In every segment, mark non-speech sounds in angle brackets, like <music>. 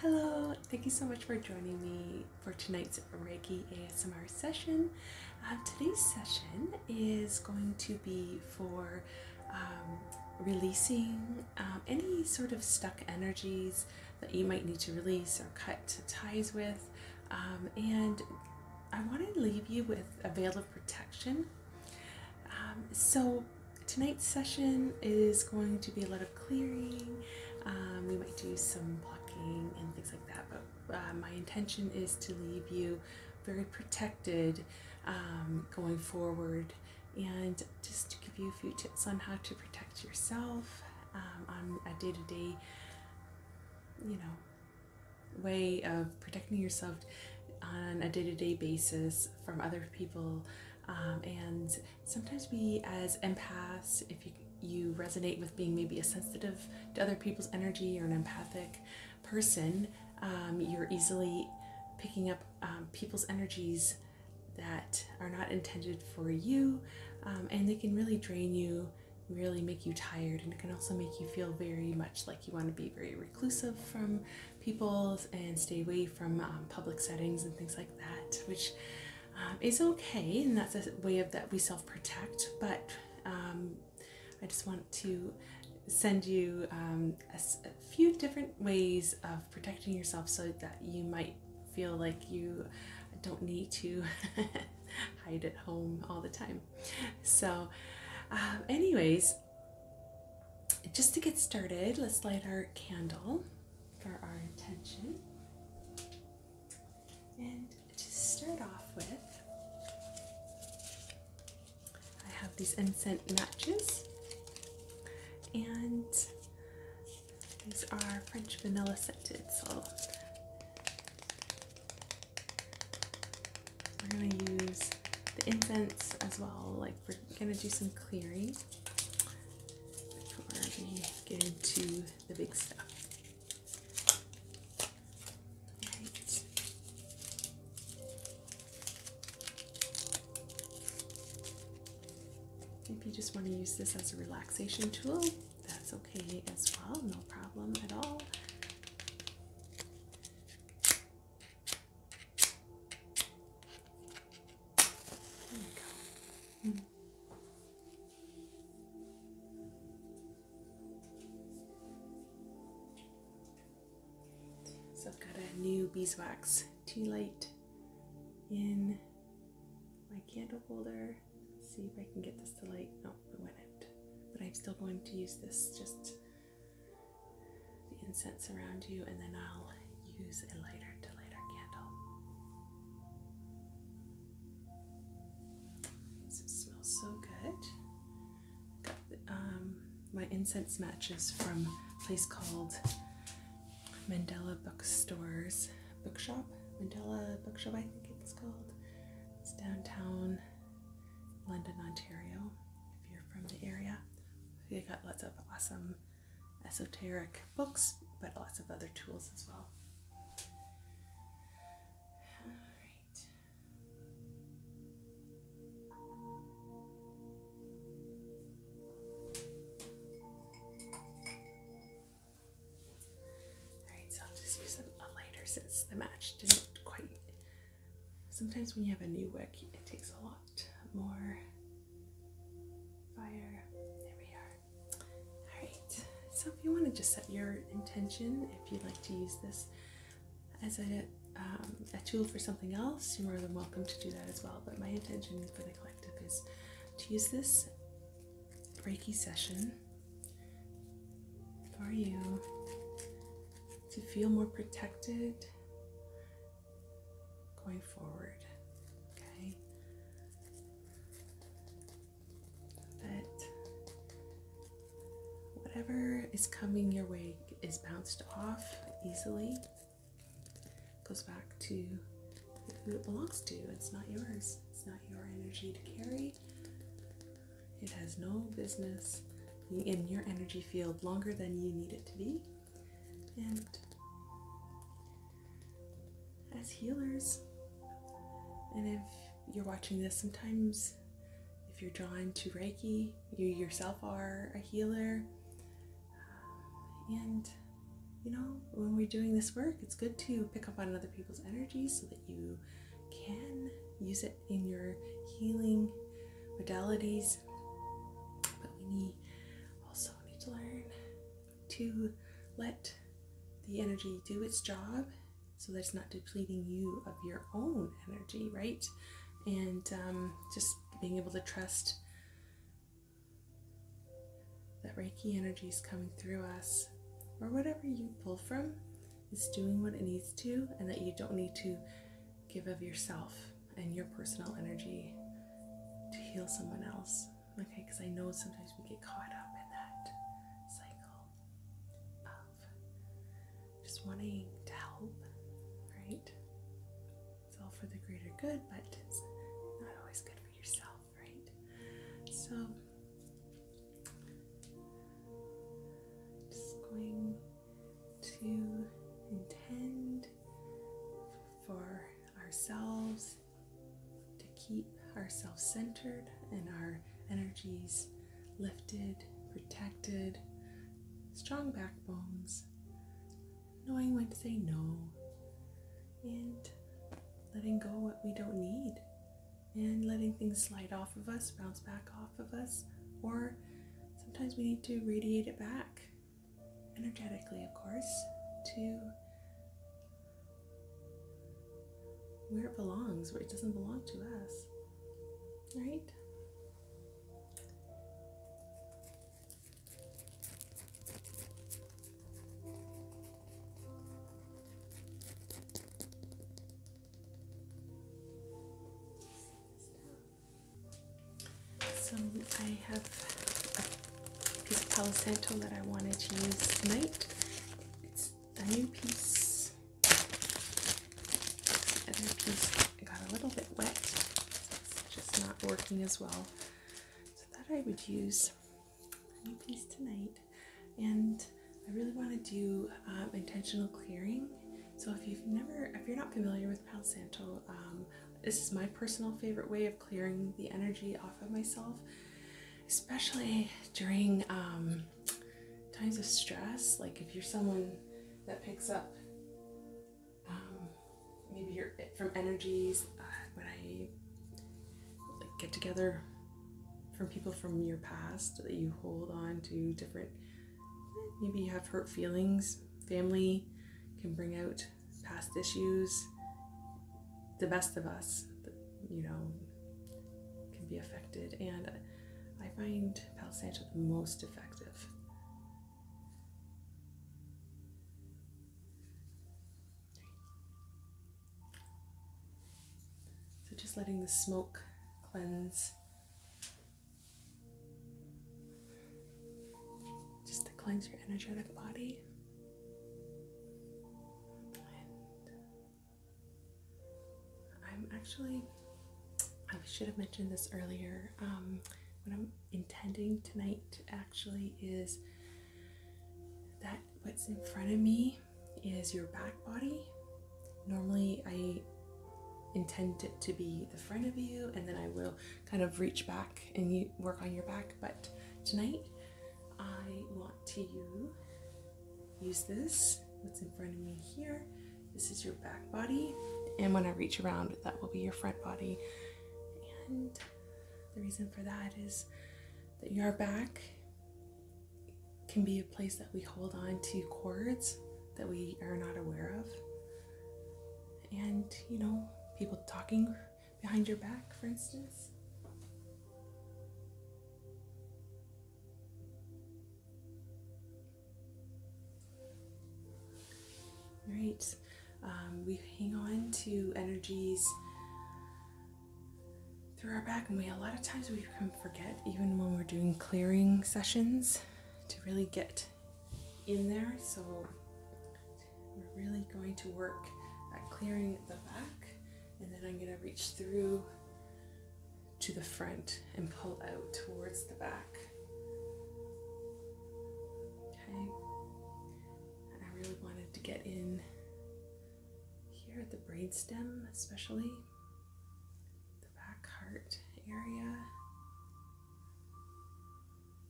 Hello, thank you so much for joining me for tonight's Reiki ASMR session. Um, today's session is going to be for um, releasing um, any sort of stuck energies that you might need to release or cut ties with. and I want to leave you with a veil of protection um, so tonight's session is going to be a lot of clearing. Um, we might do some blocking and things like that, but uh, my intention is to leave you very protected um, going forward and just to give you a few tips on how to protect yourself on a day to -day, you know way of protecting yourself on a day to day basis from other people. Um, and sometimes we, as empaths, if you, you resonate with being maybe a sensitive to other people's energy or an empathic person, um, you're easily picking up um, people's energies that are not intended for you, and they can really drain you, really make you tired, and it can also make you feel very much like you want to be very reclusive from people and stay away from um, public settings and things like that, which um, is okay, and that's a way of that we self-protect. But um, I just want to send you a few different ways of protecting yourself so that you might feel like you don't need to <laughs> hide at home all the time so, uh, anyways, just to get started, let's light our candle for our intention. And to start off with, I have these incense matches, and these are French vanilla scented. So we're gonna use the incense as well, like we're gonna do some clearing before we get into the big stuff. If you just want to use this as a relaxation tool, that's okay as well, no problem at all. So I've got a new beeswax tea light in my candle holder. see if I can get this to light. No, it went out. But I'm still going to use this just the incense around you, and then I'll use a lighter to light our candle. This smells so good. Um, my incense matches from a place called Mandela Bookstores Bookshop. Mandela Bookshop, I think it's called. It's downtown London, Ontario. If you're from the area, they got lots of awesome esoteric books, but lots of other tools as well. Alright, so I'll just use a lighter since the match didn't quite sometimes when you have a new wick, it takes a lot more fire. There we are. Alright, so if you want to just set your intention, if you'd like to use this as a, um, a tool for something else, you're more than welcome to do that as well. But my intention for the collective is to use this Reiki session for you to feel more protected going forward. Okay? That whatever is coming your way is bounced off easily, goes back to who it belongs to. It's not yours, it's not your energy to carry. It has no business in your energy field longer than you need it to be. And as healers, and if you're watching this, sometimes if you're drawn to Reiki, you yourself are a healer. And you know, when we're doing this work, it's good to pick up on other people's energy so that you can use it in your healing modalities, but we need, also need to learn to let the energy do its job so that it's not depleting you of your own energy, right? And um, just being able to trust that Reiki energy is coming through us or whatever you pull from is doing what it needs to and that you don't need to give of yourself and your personal energy to heal someone else. Okay, because I know sometimes we get caught up in that cycle of just wanting to help, right? It's all for the greater good, but it's not always good for yourself, right? So just going to intend for ourselves to keep ourselves centered and our energies lifted, protected, strong backbones, knowing when to say no, and letting go what we don't need and letting things slide off of us, bounce back off of us, or sometimes we need to radiate it back, energetically, of course, to where it belongs, where it doesn't belong to us. Right? So I have a piece of Palo that I wanted to use tonight. It's a new piece. The piece got a little bit wet. It's just not working as well. So that I would use a new piece tonight. And I really want to do um, intentional clearing. So if you've never, if you're not familiar with Palo Santo, um, this is my personal favorite way of clearing the energy off of myself, especially during um, times of stress. Like if you're someone that picks up maybe you're from energies uh, when I get together from people from your past that you hold on to different maybe you have hurt feelings family can bring out past issues the best of us you know can be affected and i find palo santo the most effective so just letting the smoke cleanse just to cleanse your energetic body I'm actually I should have mentioned this earlier. Um, what I'm intending tonight actually is that what's in front of me is your back body. Normally, I intend it to be the front of you, and then I will kind of reach back and work on your back. But tonight, I want to use this. What's in front of me here? This is your back body, and when I reach around, that will be your front body. And the reason for that is that your back can be a place that we hold on to cords that we are not aware of. And, you know, people talking behind your back, for instance. Right, um, we hang on to energies through our back and we a lot of times we can forget even when we're doing clearing sessions to really get in there so we're really going to work at clearing the back and then I'm going to reach through to the front and pull out towards the back okay I really wanted to get in here at the braid stem, especially back heart area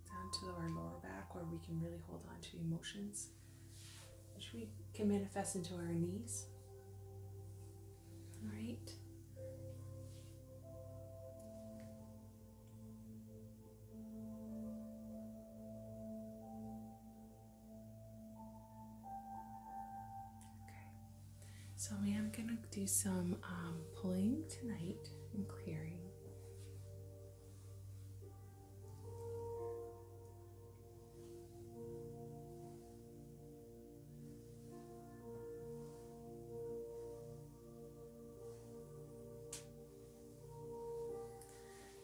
down to our lower back where we can really hold on to emotions, which we can manifest into our knees. All right. Okay, so I am going to do some um, pulling tonight and clearing.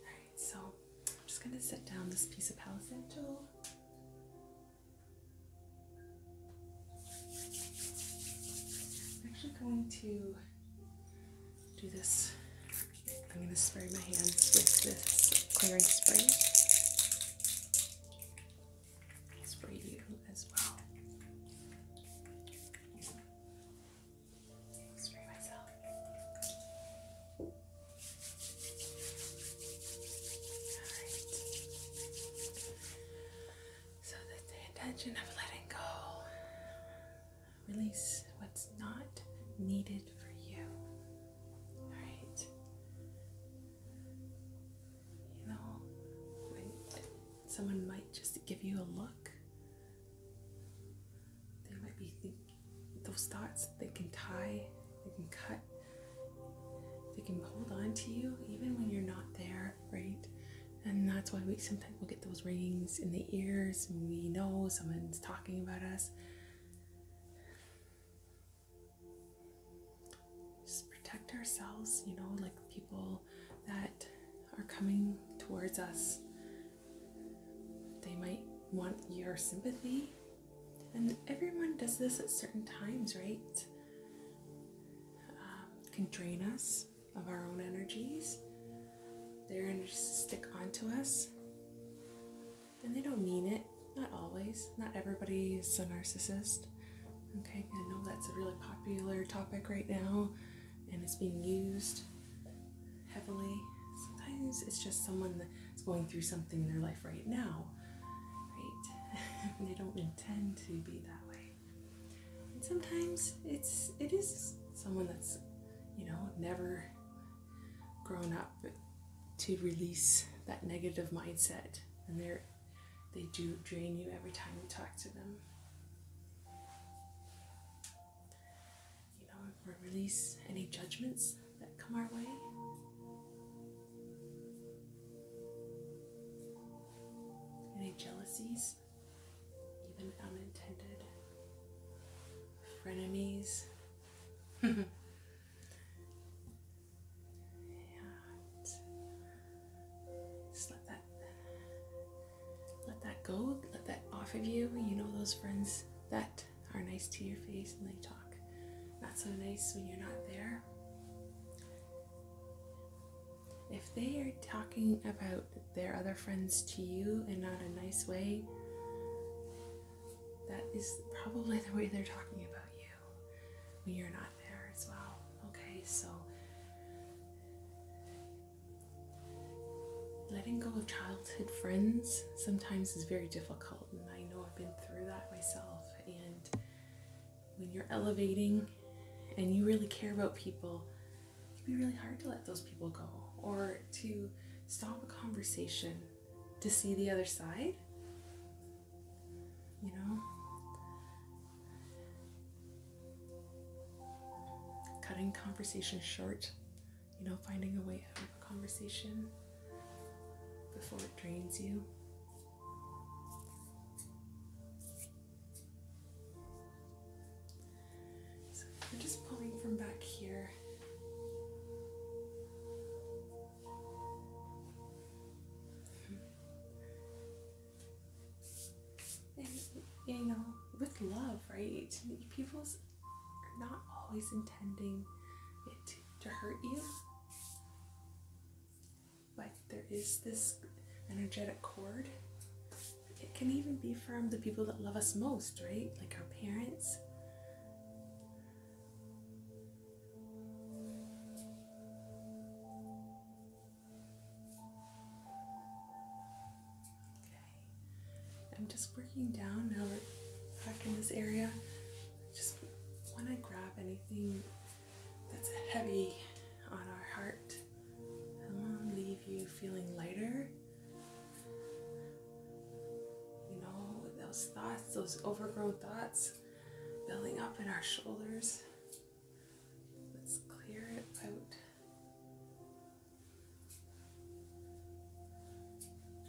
Alright, so I'm just going to set down this piece of Palo I'm actually going to do this. I'm going to spray my hands with this clearing spray. spray you as well. spray myself. So that's the intention of letting go. Release what's not needed for you. Alright. You know, someone might just give you a look, they might be those thoughts, they can tie, they can cut. They can hold on to you even when you're not there, right? And that's why we sometimes will get those ringings in the ears we know someone's talking about us. Just protect ourselves, you know, like people that are coming towards us. They might want your sympathy and everyone does this at certain times, right? Uh, can drain us of our own energies. they Their energies stick onto us. And they don't mean it. Not always. Not everybody's a narcissist. Okay, I know that's a really popular topic right now and it's being used heavily. Sometimes it's just someone is going through something in their life right now, right? <laughs> they don't intend to be that way. And sometimes it's it is someone that's you know never grown up to release that negative mindset, and they're they do drain you every time you talk to them. You know, release any judgments that come our way. Any jealousies, even unintended, frenemies. <laughs> yeah, just let that let that go, let that off of you. You know those friends that are nice to your face and they talk. Not so nice when you're not there. If they are talking about their other friends to you in not a nice way, that is probably the way they're talking about you when you're not there as well. Okay, so letting go of childhood friends sometimes is very difficult. I know I've been through that myself. And when you're elevating and you really care about people, it can be really hard to let those people go or to stop a conversation to see the other side. You know? Cutting conversation short, you know, finding a way out of a conversation before it drains you. So we're just pulling from back here. And, you know, with love, right? People's are not always intending it to hurt you. Like there is this energetic cord. It can even be from the people that love us most, right? Like our parents. Okay. I'm just working down now back in this area just when I grab anything that's heavy on our heart. I want to leave you feeling lighter. You know, those thoughts, those overgrown thoughts building up in our shoulders. Let's clear it out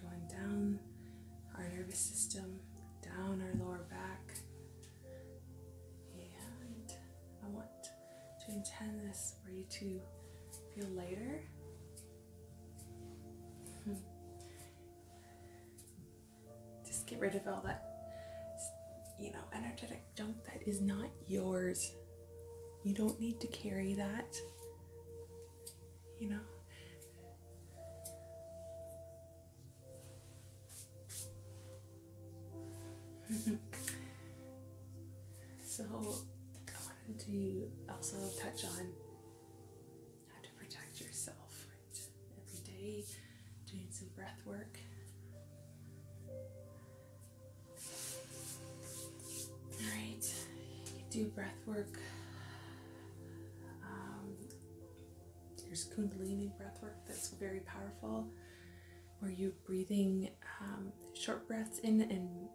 going down our nervous system, down our lower back. And I want to intend this for you to feel lighter. <laughs> Just get rid of all that, you know, energetic junk that is not yours. You don't need to carry that you know. <laughs> so, I wanted to also touch on how to protect yourself right? every day, doing some breath work. Alright, do breath work um, there's Kundalini breathwork that's very powerful, where you're breathing um, short breaths in and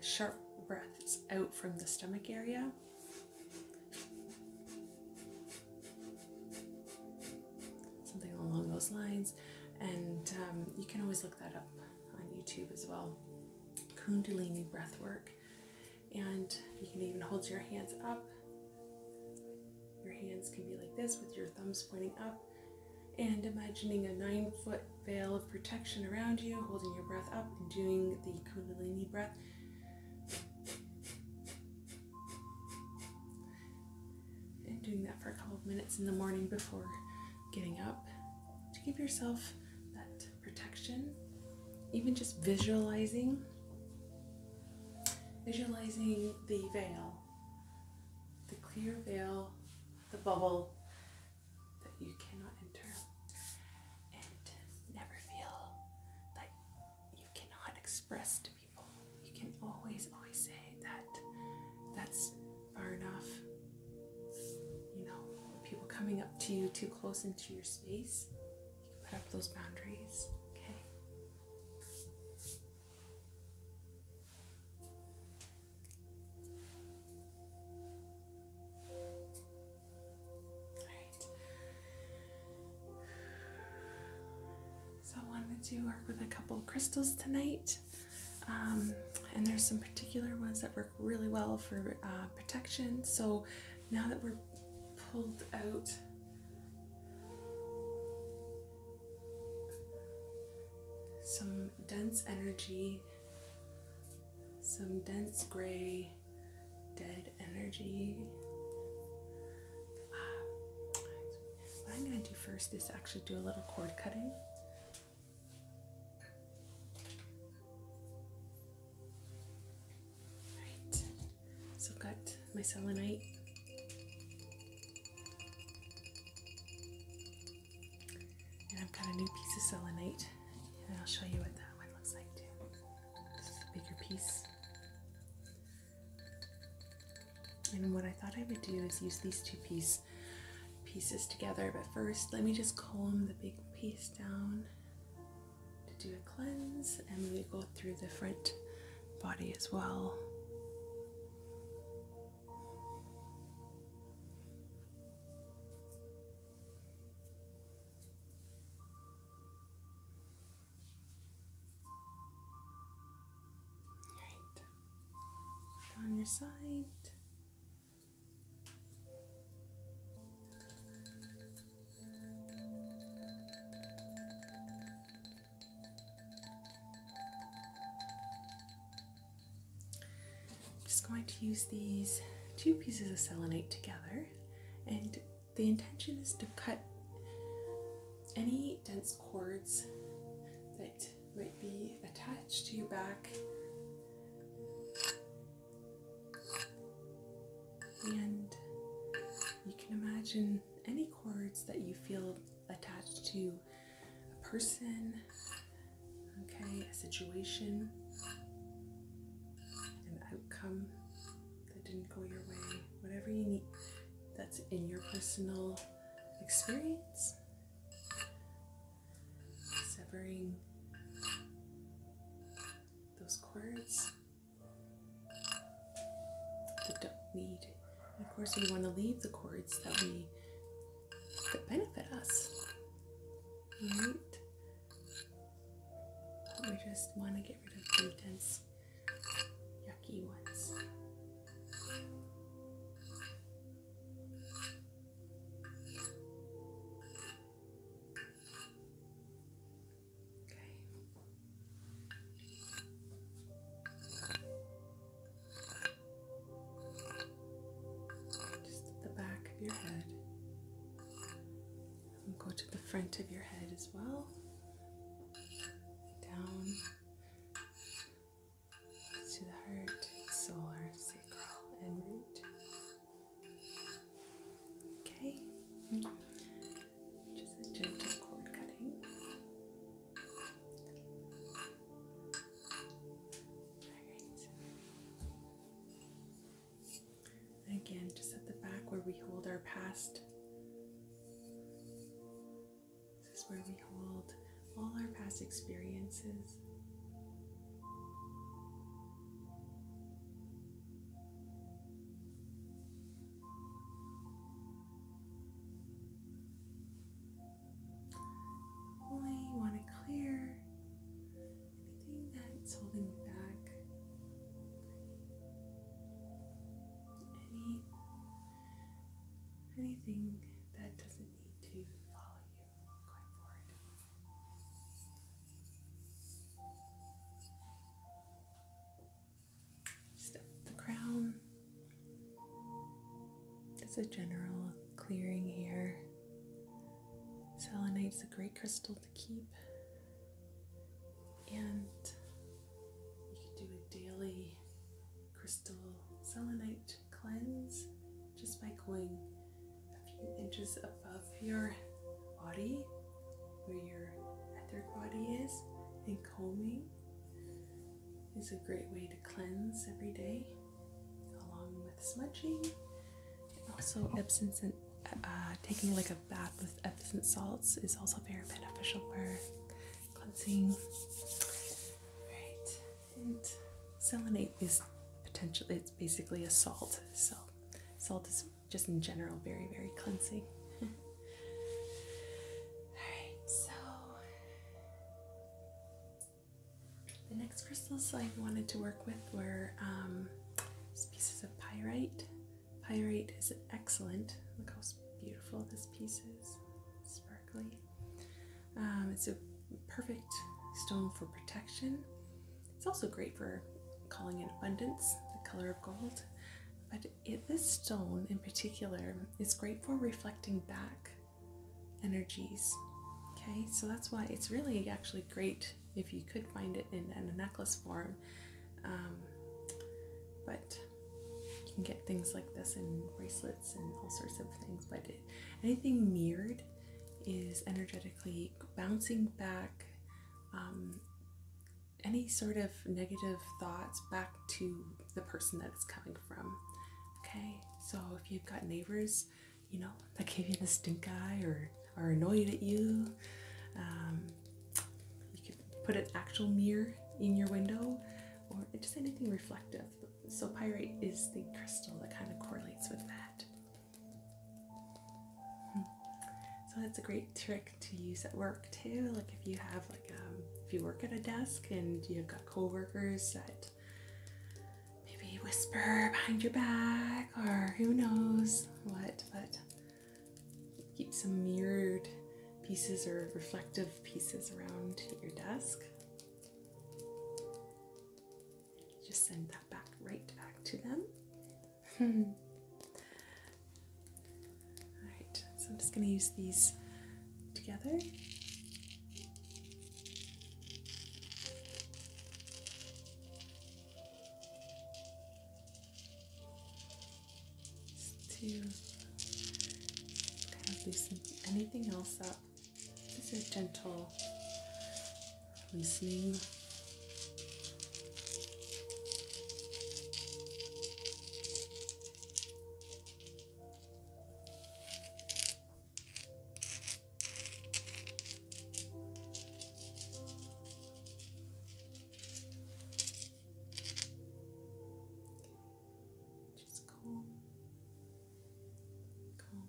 sharp breaths out from the stomach area. Something along those lines. And um, you can always look that up on YouTube as well. Kundalini breathwork and you can even hold your hands up. Your hands can be like this with your thumbs pointing up and imagining a nine foot veil of protection around you, holding your breath up and doing the Kundalini breath. And doing that for a couple of minutes in the morning before getting up to give yourself that protection, even just visualizing. Visualizing the veil, the clear veil, the bubble that you cannot enter, and never feel that you cannot express to people. You can always, always say that that's far enough. You know, people coming up to you too close into your space. put up those boundaries, okay? Alright. So I wanted to work with a couple crystals tonight. Um, and there's some particular ones that we're really well for uh, protection. So now that we're pulled out, some dense energy, some dense gray, dead energy. Uh, what I'm going to do first is actually do a little cord cutting. So I've got my selenite. And I've got a new piece of selenite. And I'll show you what that one looks like too. This is a bigger piece. And what I thought I would do is use these two piece, pieces together, but first let me just calm the big piece down to do a cleanse and we go through the front body as well. Right. On your side, I'm just going to use these two pieces of selenite together, and the intention is to cut any dense cords that might be attached to your back and you can imagine any cords that you feel attached to a person, okay, a situation, an outcome that didn't go your way, whatever you need that's in your personal experience. Severing those cords that don't need. And of course, we want to leave the cords that we that benefit us. Right? we just want to get rid of the dense, yucky ones. Just the back of your head. And go to the front of your head as well. Down to the heart, solar, sacral, and root. Okay, just a gentle cord cutting. Alright. Again, just at the back where we hold our past. This is where we hold all our past experiences. Only want to clear anything that's holding you back. Any anything that doesn't need to follow you. Just the crown. There's a general clearing here. Selenite's a great crystal to keep, and you can do a daily crystal selenite cleanse just by going a few inches above your body where your etheric body is and combing is a great way to cleanse every day along with smudging also Epsom scent uh, taking like a bath with Epsom salts is also very beneficial for cleansing. Right, and selenate is potentially it's basically a salt, so Salt is just in general very, very cleansing. <laughs> Alright, so the next crystals I wanted to work with were um, pieces of pyrite. Pyrite is excellent. Look how beautiful this piece is, sparkly. Um, it's a perfect stone for protection. It's also great for calling in abundance, the color of gold. But this stone in particular is great for reflecting back energies. Okay, so that's why it's really actually great if you could find it in, a necklace form. Um, but you can get things like this in bracelets and all sorts of things. But anything mirrored is energetically bouncing back um, any sort of negative thoughts back to the person that it's coming from. Okay, so if you've got neighbors, you know, that gave you the stink eye or are annoyed at you, um, you could put an actual mirror in your window or just anything reflective. So, pyrite is the crystal that kind of correlates with that. Hmm. So that's a great trick to use at work too. Like if you have like um, if you work at a desk and you've got coworkers that maybe whisper behind your back or who knows what, but keep some mirrored pieces or reflective pieces around your desk. Just send that back right back to them. <laughs> Alright, so I'm just going to use these together. Just to kind loosen anything else up. This is gentle we see just calm, calm,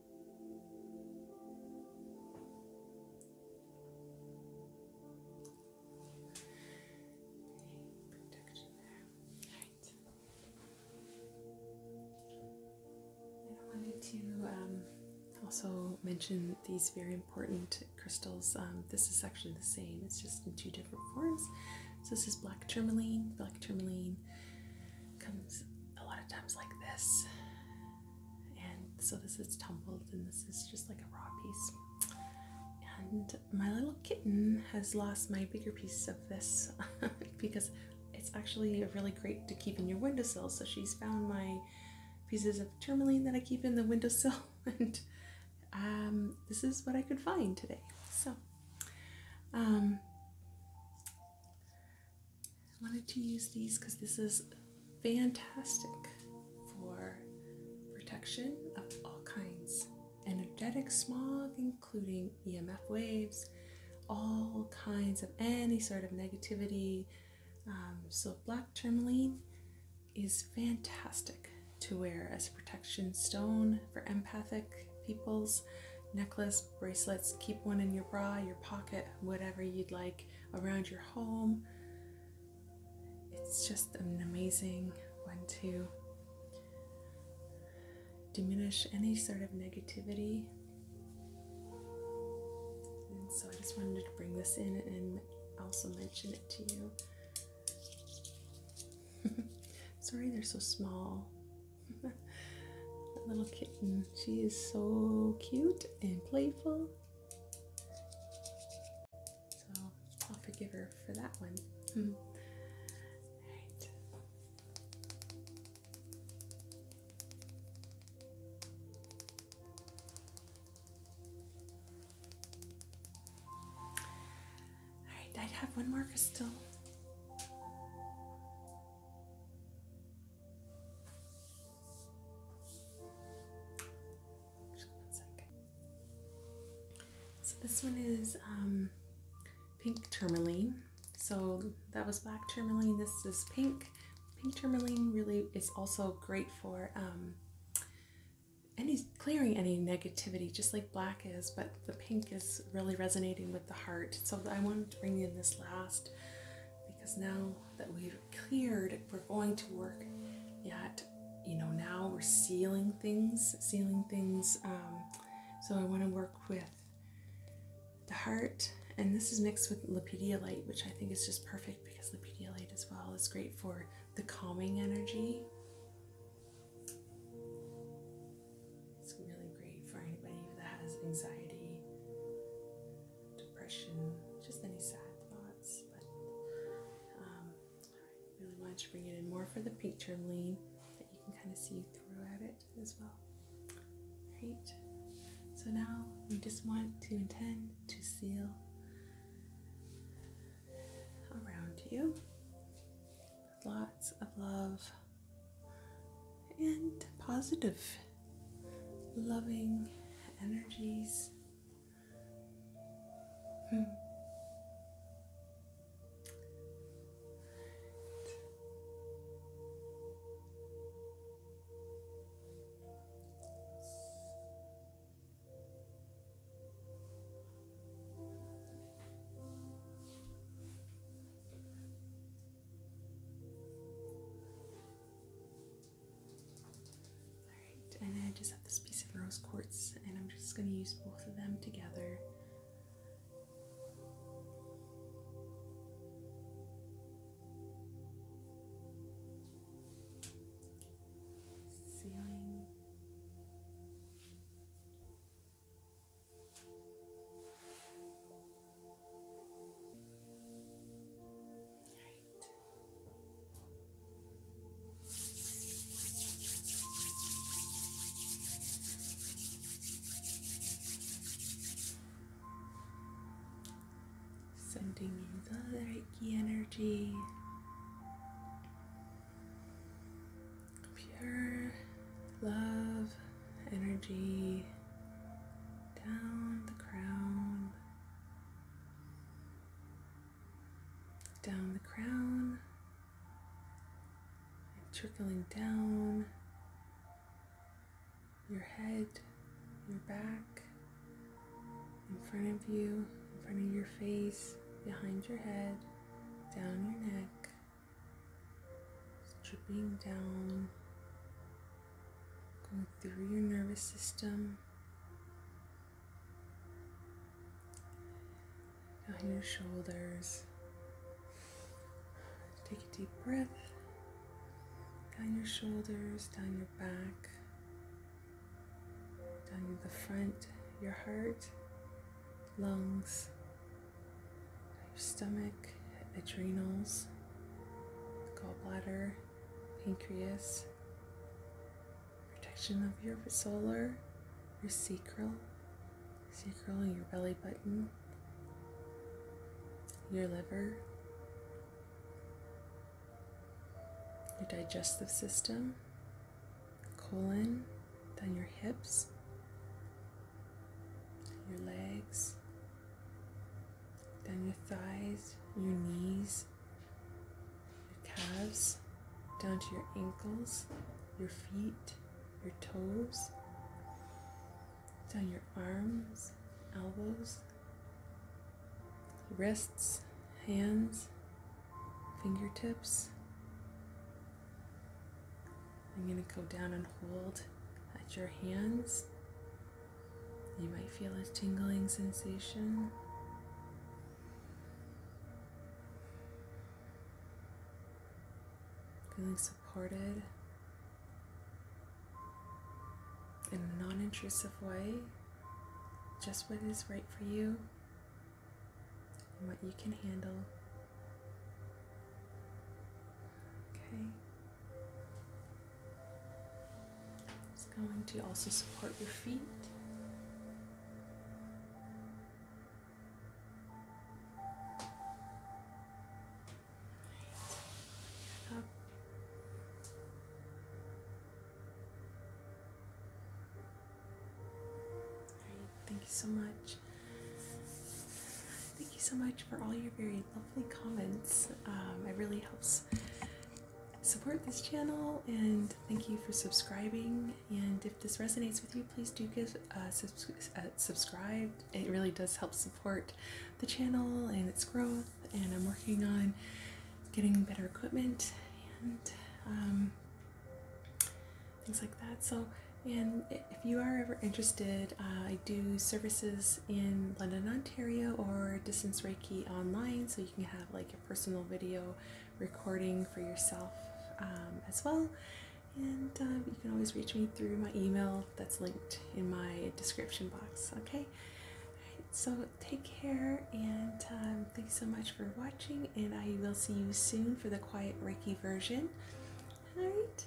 I wanted to um, also mention these very important crystals. Um, this is actually the same, it's just in two different forms. So, this is black tourmaline. Black tourmaline comes a lot of times like this and so this is tumbled and this is just like a raw piece and my little kitten has lost my bigger piece of this <laughs> because it's actually really great to keep in your windowsill so she's found my pieces of tourmaline that I keep in the windowsill <laughs> and um, this is what I could find today so um, I wanted to use these because this is fantastic for protection of all kinds energetic smog, including EMF waves, all kinds of any sort of negativity. Um, so, black tourmaline is fantastic to wear as a protection stone for empathic peoples. Necklace, bracelets, keep one in your bra, your pocket, whatever you'd like around your home. It's just an amazing one to diminish any sort of negativity. And so I just wanted to bring this in and also mention it to you. <laughs> Sorry, they're so small. <laughs> little kitten she is so cute and playful. So I'll forgive her for that one. Hmm. All right. All right, I have one more crystal. So this one is um, pink tourmaline. So that was black tourmaline. This is pink. Pink tourmaline really is also great for um, any clearing any negativity, just like black is. But the pink is really resonating with the heart. So I wanted to bring in this last because now that we've cleared, we're going to work Yet, you know, now we're sealing things, sealing things. Um, so I want to work with the heart, and this is mixed with Lepidolite, which I think is just perfect because Lepidolite as well is great for the calming energy. It's really great for anybody that has anxiety depression, just any sad thoughts. But um, I really wanted to bring it in more for the picture lean that you can kind of see throughout it as well. Right. So now we just want to intend to seal around you lots of love, and positive, loving energies. Hmm. Alright, and I just have this piece of rose quartz, and I'm just going to use both of them together. Ceiling. Sending you the Reiki energy, pure love energy down the crown, down the crown, and trickling down your head, your back, in front of you, in front of your face, behind your head, down your neck, it's dripping down going through your nervous system, down your shoulders. Take a deep breath down your shoulders, down your back, down the front, your heart, lungs, your stomach, adrenals, gallbladder, pancreas, protection of your solar, your sacral, sacral and your belly button, your liver, your digestive system, colon, then your hips, your legs, down your thighs, your knees, your calves, down to your ankles, your feet, your toes, down your arms, elbows, wrists, hands, fingertips. I'm going to go down and hold at your hands you might feel a tingling sensation. Feeling supported in a non intrusive way, just what is right for you and what you can handle. Okay. It's going to also support your feet. Up. All right. Thank you so much. Thank you so much for all your very lovely comments. Um, it really helps support this channel, and thank you for subscribing. And if this resonates with you, please do give uh, uh, subscribe. It really does help support the channel and its growth. And I'm working on getting better equipment and um, things like that. So. And if you are ever interested, uh, I do services in London, Ontario, or Distance Reiki online, so you can have like a personal video recording for yourself um, as well. And um, you can always reach me through my email that's linked in my description box. Okay, so take care, and um, thanks so much for watching. And I will see you soon for the Quiet Reiki version. All right.